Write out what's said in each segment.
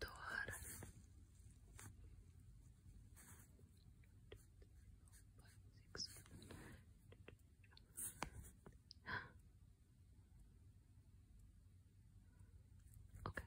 doğaranın Okay.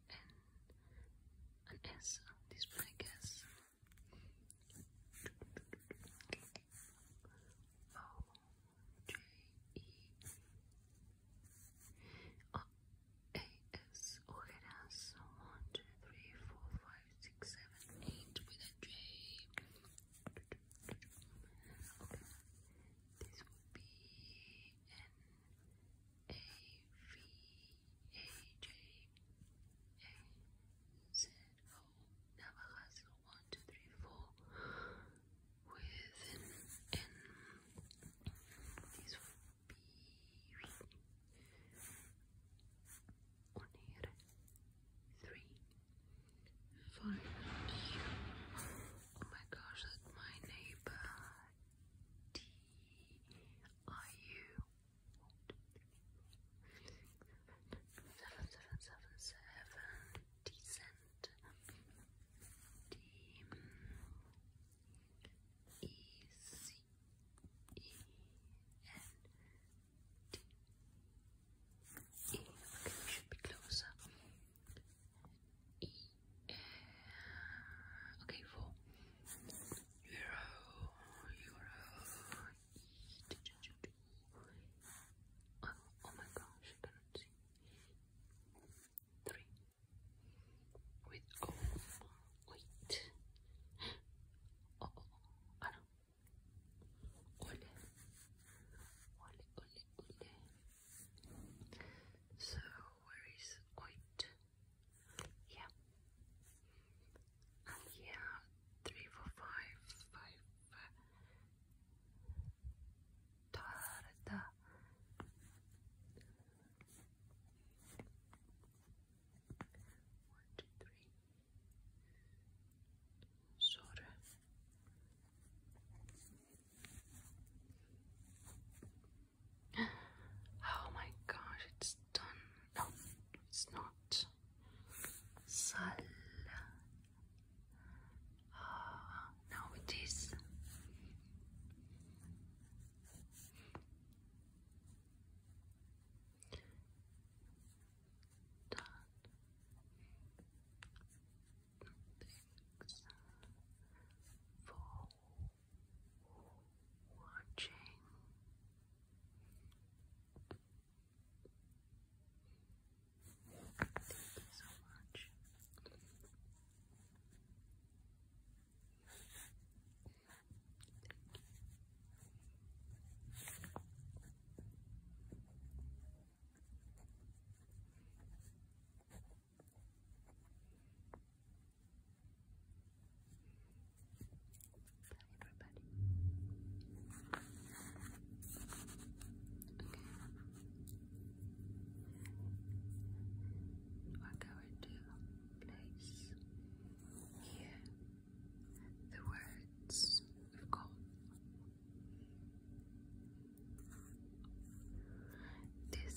an, an S on this black S. O J E O A S Oreras. One, two, three, four, five, six, seven, eight with a J. Okay. This would be an a V A J A Z O Navajas one two three four with an N. These would be one three five. Oh my gosh, that's my neighbor. D R U seven seven seven seven decent D E C E N D E okay, we should be closer E uh, okay, four. Oh, oh my gosh, I cannot see. Three. With oh wait. Oh, oh, oh, oh. Ole. Ole, ole, ole. So, where is oit? Yeah. And oh, yeah, three, four, five, five. Tarda. One, two, three. Soda. Oh my gosh, it's done. No, it's not. Sal. Uh, no, it is. Done. Thanks. Fold watching. Thank you so much. Thank you. We're going to place here the words of God. This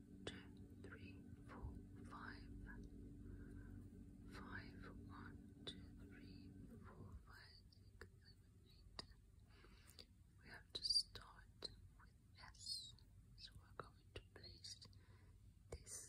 two, three, four, five. Five, one, two, three, four, five, six, seven, eight. We have to start with S. So we're going to place this.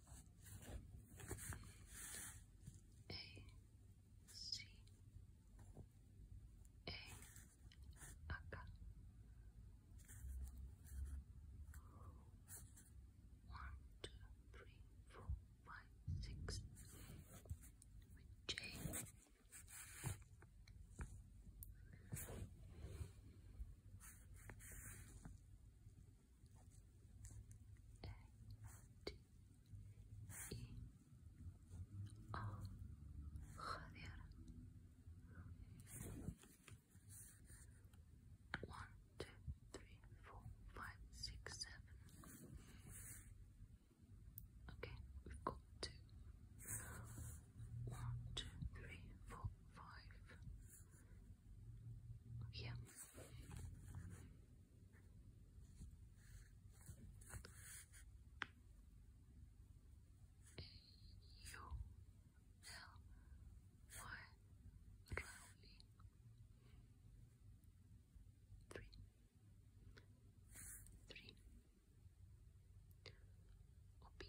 A C A Aka one, two, three, four, five, six with J joder. One, two, three, four, five, six, seven. Okay, we've got two. One, two, three, four, five here. You three three O B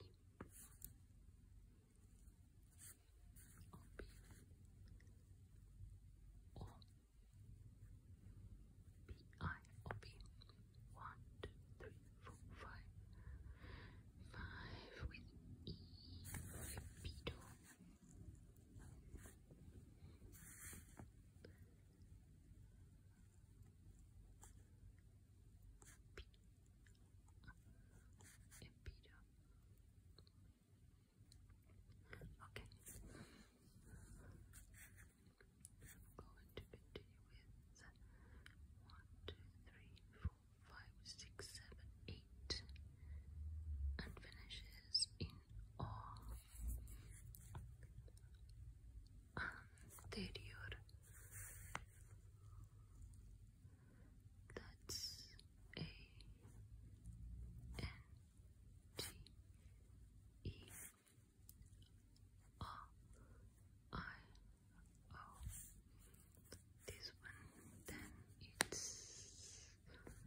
one, two, three, four, five. Five with E. Beetle. Okay. I'm going to continue with one, two, three, four, five, six, seven, eight, and finishes in all anterior that's A N T E R I O. This one, then it's on,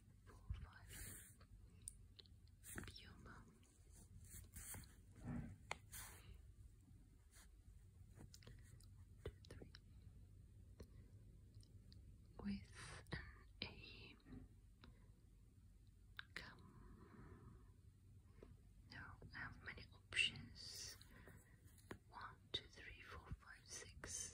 Puma. Puma. With A. Come. No, I have many options. One, two, three, four, five, six.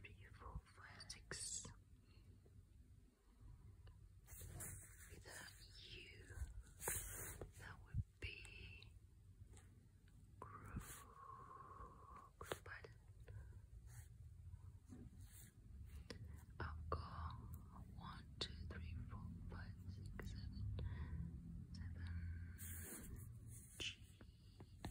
three, four, five, six. Without you, that would be Groove Button. I've got one, two, three, four, five, six, seven, seven G.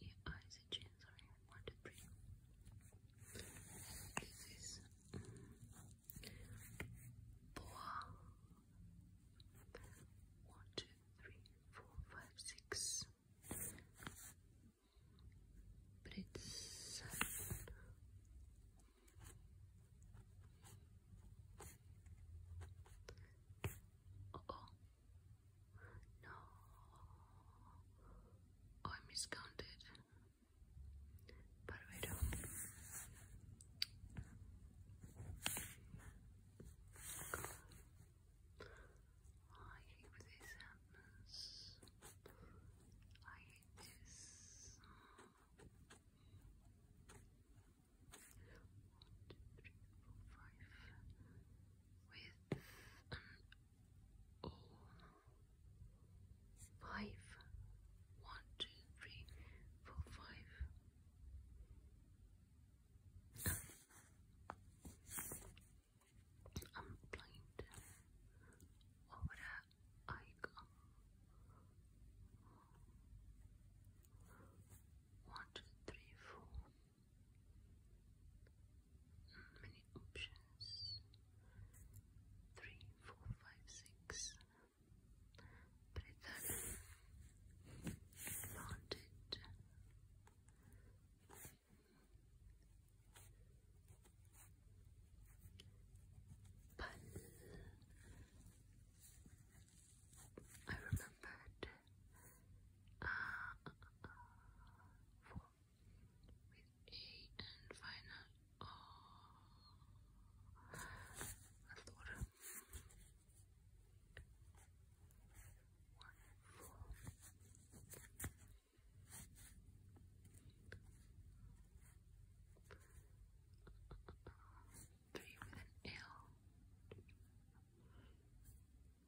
your eyes and chin, one, two, three. This is Boa. One, two, three, four, five, six. But it's oh, no, I miscounted. But we don't. I hate this happens. I hate um, One, two, three, four, five. With oh five one two three four five I'm blind over I go one two three four many options. Three, four, five, six. Breather, planted. But I remembered uh, uh, uh four with E and final O. four. Three with an L.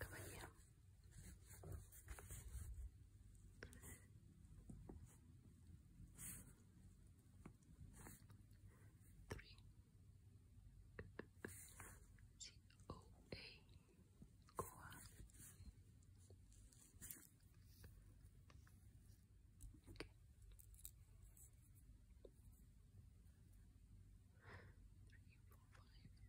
Caballero. Three. C O A. Goa. Three, four, five,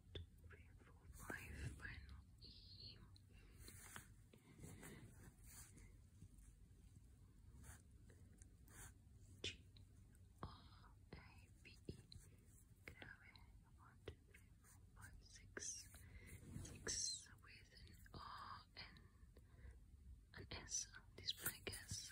final E. G R A B E. Grave one, two, three, four, five, six. Six with an R and an S. This black S.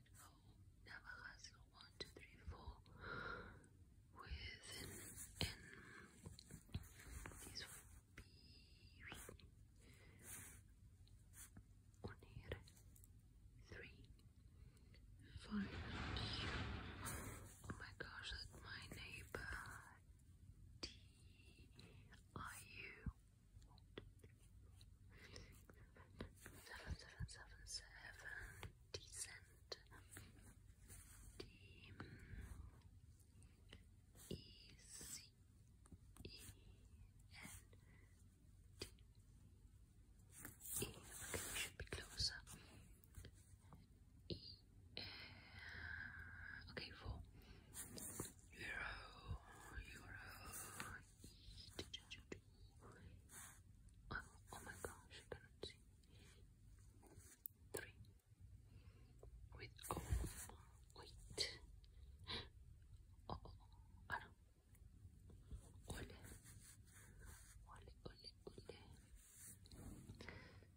Navajas 1, 2, 3, with an These would be Unir 3, 5. Oh my gosh, that's my neighbor. D I U seven, seven, seven, seven, decent, D, E, C, E, N, D, E, okay, should be closer, E, okay, four, euro, euro, Oh, oh my gosh, Three. With oh, wait. Oh, oh, oh. Ano? Ole.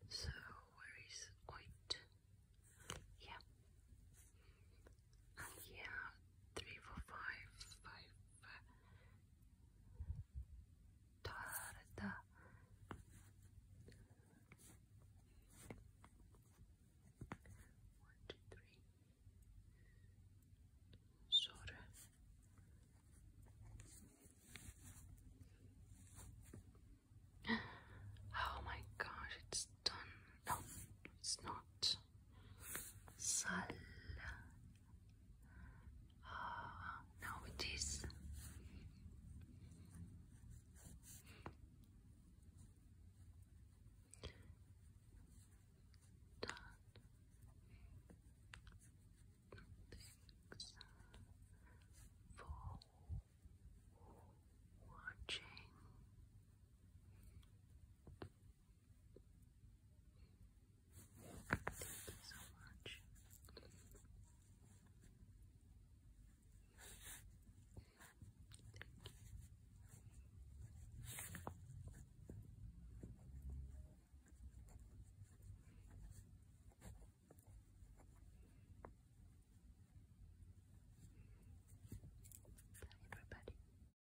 So where is oit? Yeah yeah, three, four, five, five, five. Tarda. Oh my gosh, it's done. No, it's not sal ah, now it is done for watching. Thank you so much. everybody.